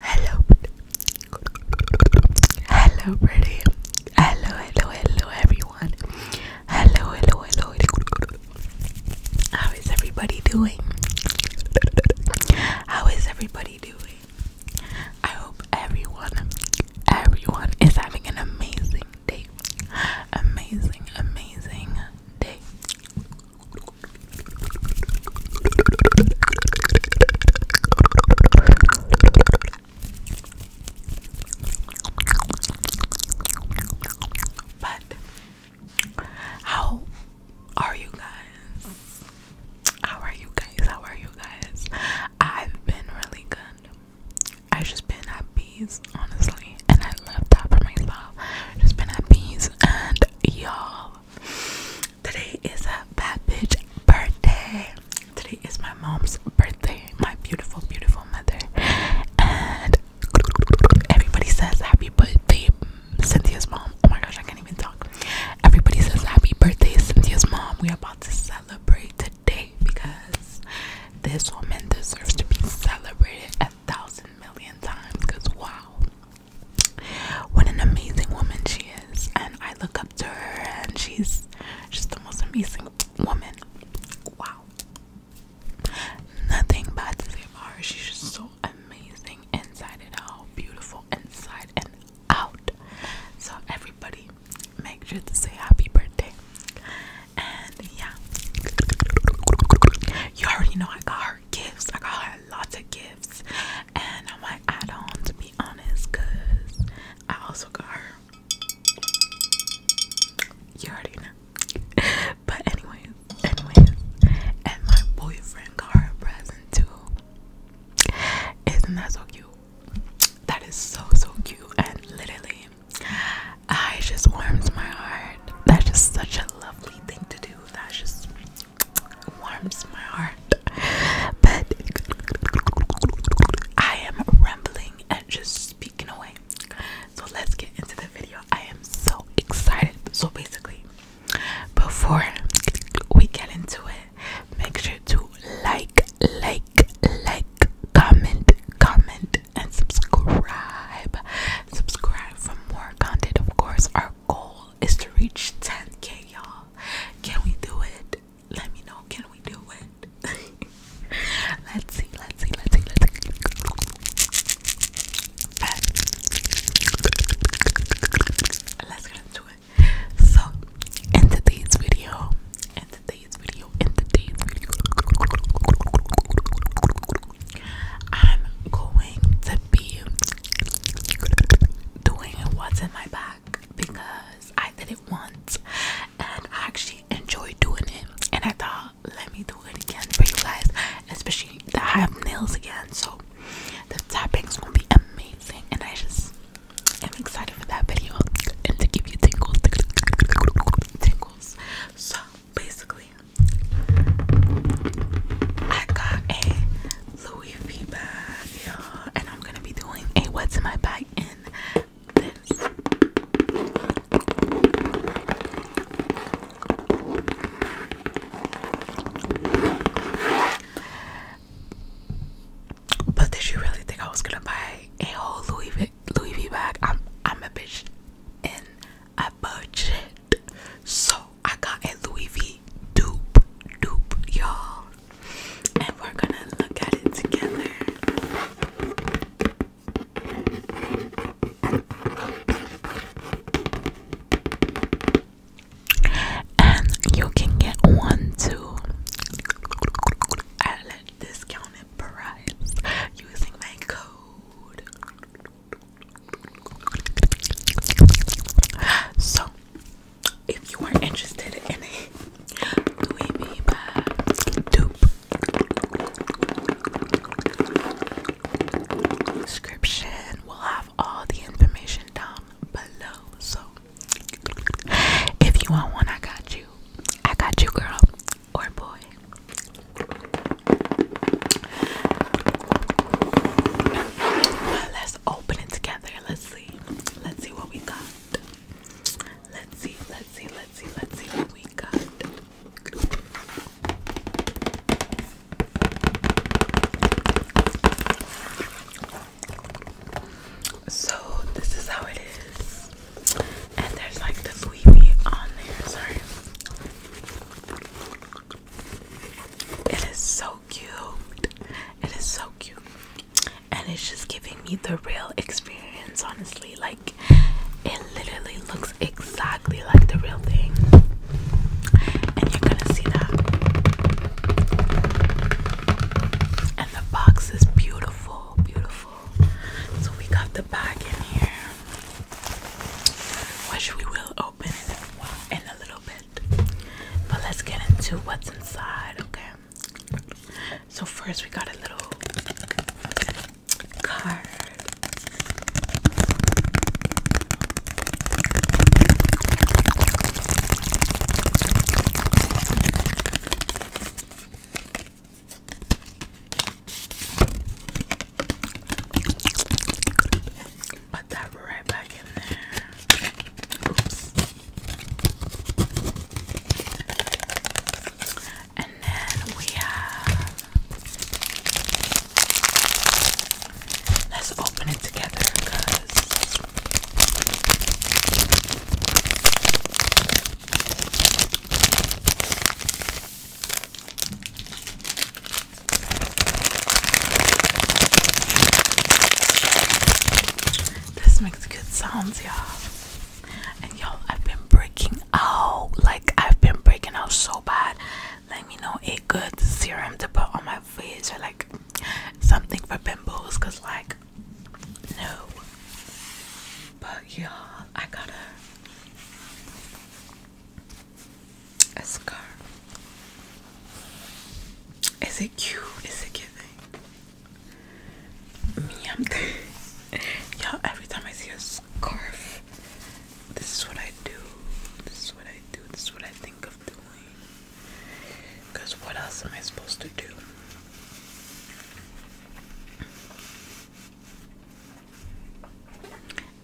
Hello, hello, pretty. Hello, hello, hello, everyone. Hello, hello, hello. How is everybody doing? How is everybody doing? I hope everyone, everyone is having an amazing day. Amazing, amazing day. But how are you guys? How are you guys? How are you guys? I've been really good. I've just been at peace, honestly, and I love that for myself. Just been at peace, and y'all, Today is a bad bitch birthday. Today is my mom's birthday, my beautiful, beautiful mother. And everybody says happy birthday, Cynthia's mom. Oh my gosh, I can't even talk. Everybody says happy birthday, Cynthia's mom. We are about to celebrate today because this woman deserves to be celebrated a thousand million times. Because wow, what an amazing woman she is, and I look up to her, and she's just the most amazing woman. Wow. Nothing bad to say about her. She's just so amazing inside and out, beautiful inside and out. So, everybody, make sure to say happy birthday. And yeah, you already know I got her gifts, I got her lots of gifts and I might add on to be honest because I also got her. You already know. but anyways, anyways, and my boyfriend got her a present too. Isn't that so cute? That is so so cute and literally I just warms my heart. That's just such a lovely thing to do. That's just warms my heart. But I am rambling and just speaking away. So let's get into the video. I am so excited. So basically, before we get into it, make sure to like, like, like, comment, comment, and subscribe. Subscribe for more content, of course. Our goal is to reach 10k, y'all. Can we do it? Let me know. Can we do it? let's see, let's see, let's see, let's see. Let's get into it. So, in today's video, in today's video, in today's video, I'm going to be doing what's in my back because I did it once and I actually enjoyed doing it. And I thought, let me do it again for you guys, especially that I have nails again. So the tapping's gonna be amazing, and I just am excited for that video and to give you tingles, tingles. So basically, I got a Louis Vuitton, bag, y'all, and I'm gonna be doing a what's in my bag in this. But did you really think I was gonna buy a whole Louis v, Louis v bag? I'm I'm a bitch in a budget, so I got a Louis V dupe dupe y'all and we're gonna look at it together and you can get one too at a discounted price using my code So, if you are interested in a Louis V description, will have all the information down below. So, if you want one, I got you. I got you, girl or boy. Let's open it together. Let's see. Let's see what we got. Let's see, let's see, let's see, let's see what we got. So this is how it is. And there's like the sweetie on there, sorry. It is so cute. It is so cute. And it's just giving me the real experience, honestly. Like, it literally looks exactly like the real thing. And you're gonna see that. And the box is beautiful, beautiful. So we got the bag in here which we will open in a little bit. But let's get into what's inside, okay? So first we got a little card. Put that right back in there. And then we have. Let's open it together because this makes good sounds, y'all. And y'all, I've been breaking out. Like, I've been breaking out so bad. Let me know a good serum to put on my face or like something for pimples. Cause like, no. But y'all, I got a a scarf. Is it cute? Is it giving? Me, I'm y'all. Every time I see a scarf, this is what I do. This is what I do. This is what I think of doing. Cause what else am I supposed to do?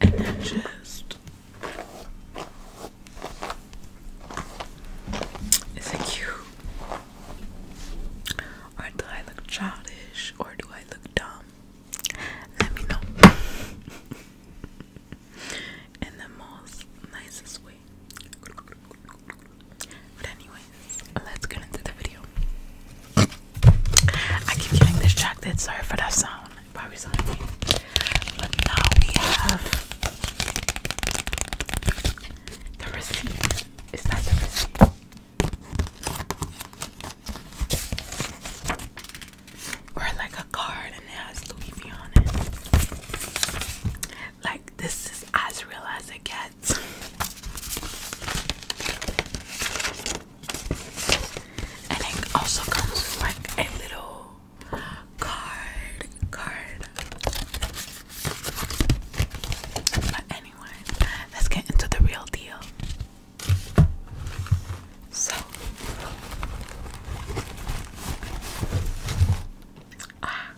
and then just is it cute or do I look childish or do I look dumb? Let me know in the most nicest way. But anyway, let's get into the video. I keep getting distracted, sorry for that sound. Probably now we have the receipt. Is that the receipt? Or like a card and it Louis V on it. Like this is as real as it gets that. And it also comes with like a little card, card. But anyway, let's get into the real deal. So, ah,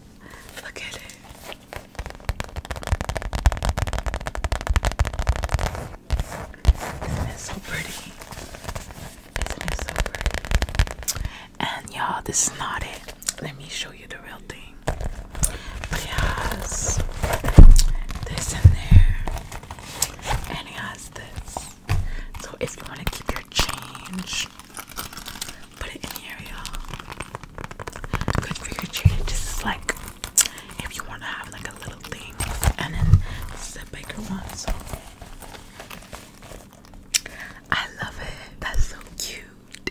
look at it is so pretty? is so pretty? And y'all, this is not it. Let me show you the real thing. But it has this in there, and it has this. So if you want to keep your change, put it in here, y'all. Good for your change. This is like if you want to have like a little thing, and then this is a I love it. That's so cute.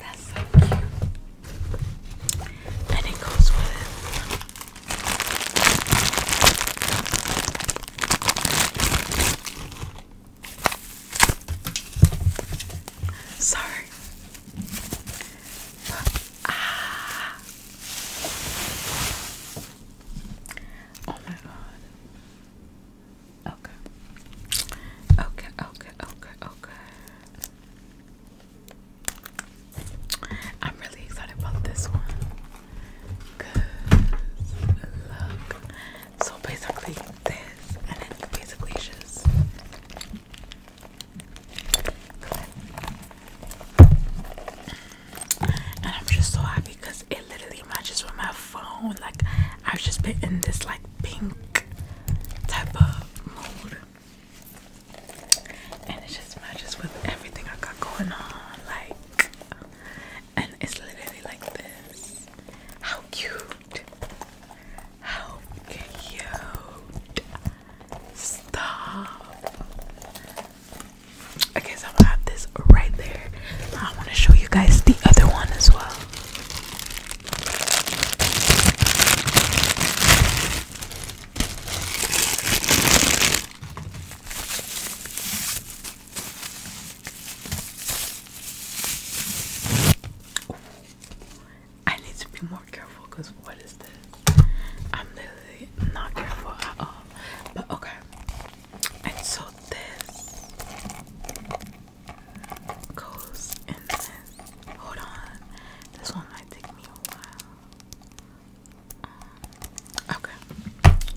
That's so cute. And it goes with. Sorry. Ah. Oh my god. Okay. Okay, okay, okay, okay. I'm really excited about this one. Cause look. So basically this and then you basically just and I'm just so happy because it literally matches with my phone. Like I've just been in this like pink type of mood. And it just matches with everything I got going on. Like and it's literally like this. How cute. How cute! Stop! Okay, so I'm have this right there. I want to show you guys the other one as well. I need to be more careful because what is this? I'm literally not careful at all. But okay. And so this goes in this. Hold on. This one might take me a while. Um, okay.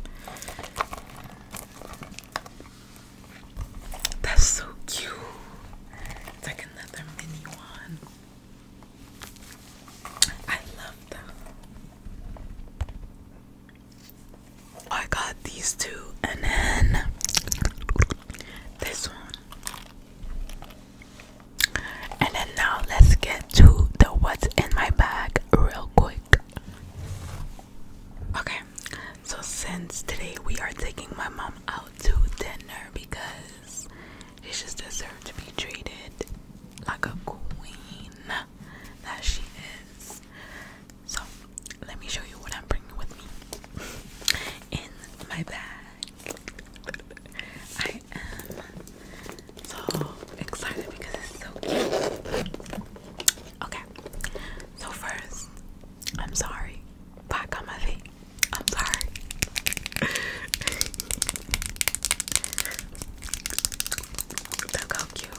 That's so cute. It's like another mini one. I love them. I got these two and then this one. And then now let's get to the what's in my bag real quick. Okay, so since today we are taking my mom out to dinner because she just deserves to be treated like a queen that she is. So, let me show you what I'm bringing with me in my bag. I am so excited because it's so cute. Okay, so first I'm sorry. Back on my feet. I'm sorry. Look how cute.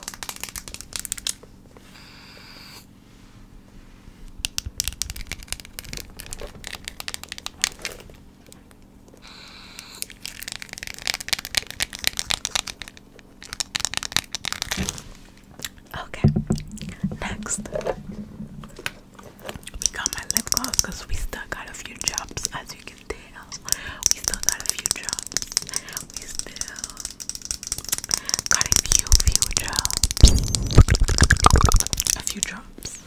Okay, next we got my lip gloss because we still got a few drops, as you can tell. We still got a few drops. We still got a few, few drops. A few drops.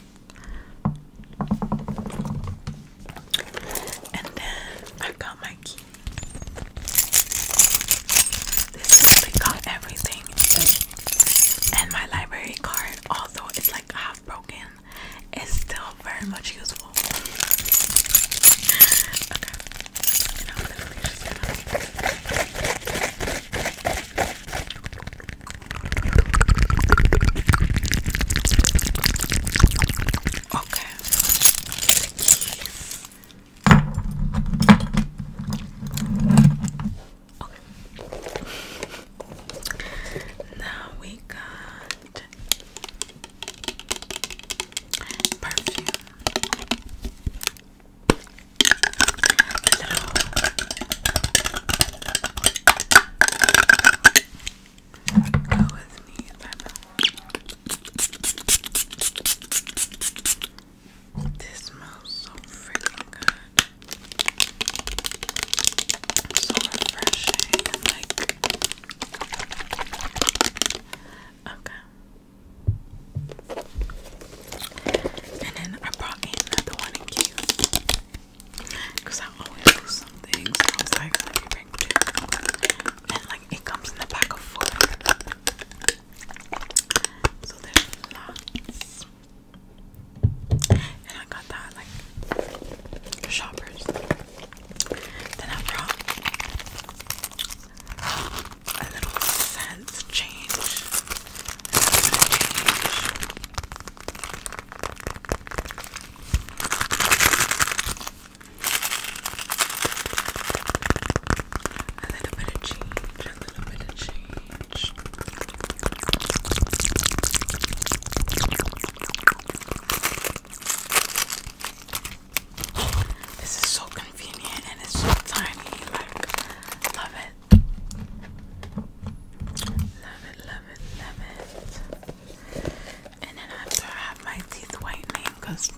And then I got my this toothpick got everything. And my library card, although it's like half broken, is still very much useful. Okay. Now we got perfume. Go with me, my this smells so freaking good. So refreshing. okay. And then I brought in another one in cute. Cause I always lose some I was like, bring two. And like it comes in the pack of four. So there's lots. And I got that like shoppers. Then I brought a little sense change. A little bit of change, a little bit of change. This is so convenient and it's so tiny. Like, love it. Love it, love it, And then after I have my teeth whitening because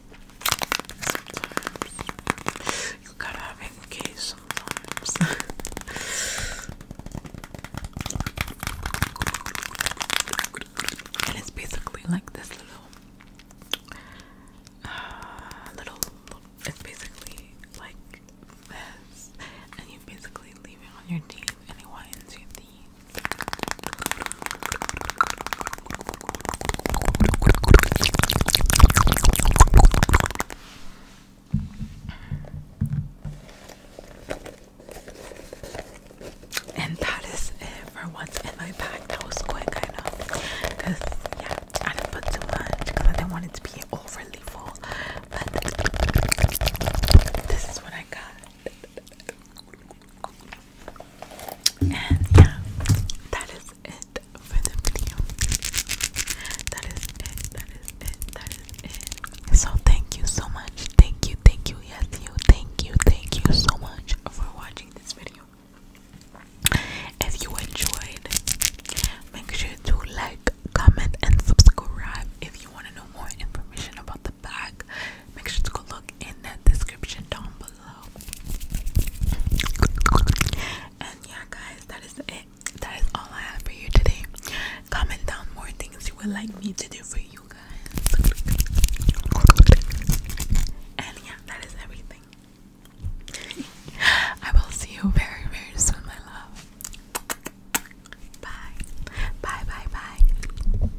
you gotta have it case sometimes. and it's basically like this little, uh, little, It's basically like this, and you basically leave it on your teeth, and it whitens your teeth. And that is it for once in my pack. That was quick, I know. Because, yeah, I didn't put too much because I didn't want it to be overly full. But this is what I got. And yeah, that is it for the video. That is it, that is it, that is it. So thank you so much. Thank you, thank you, yes you, thank you, thank you so much for watching this video. If you enjoyed, make sure to like, comment, and subscribe. If you want to know more information about the bag, make sure to go look in the description down below. And yeah, guys, that is it. That is all I have for you today. Comment down more things you would like me to do for you guys. And yeah, that is everything. I will see you very, very soon, my love. Bye. Bye, bye, bye.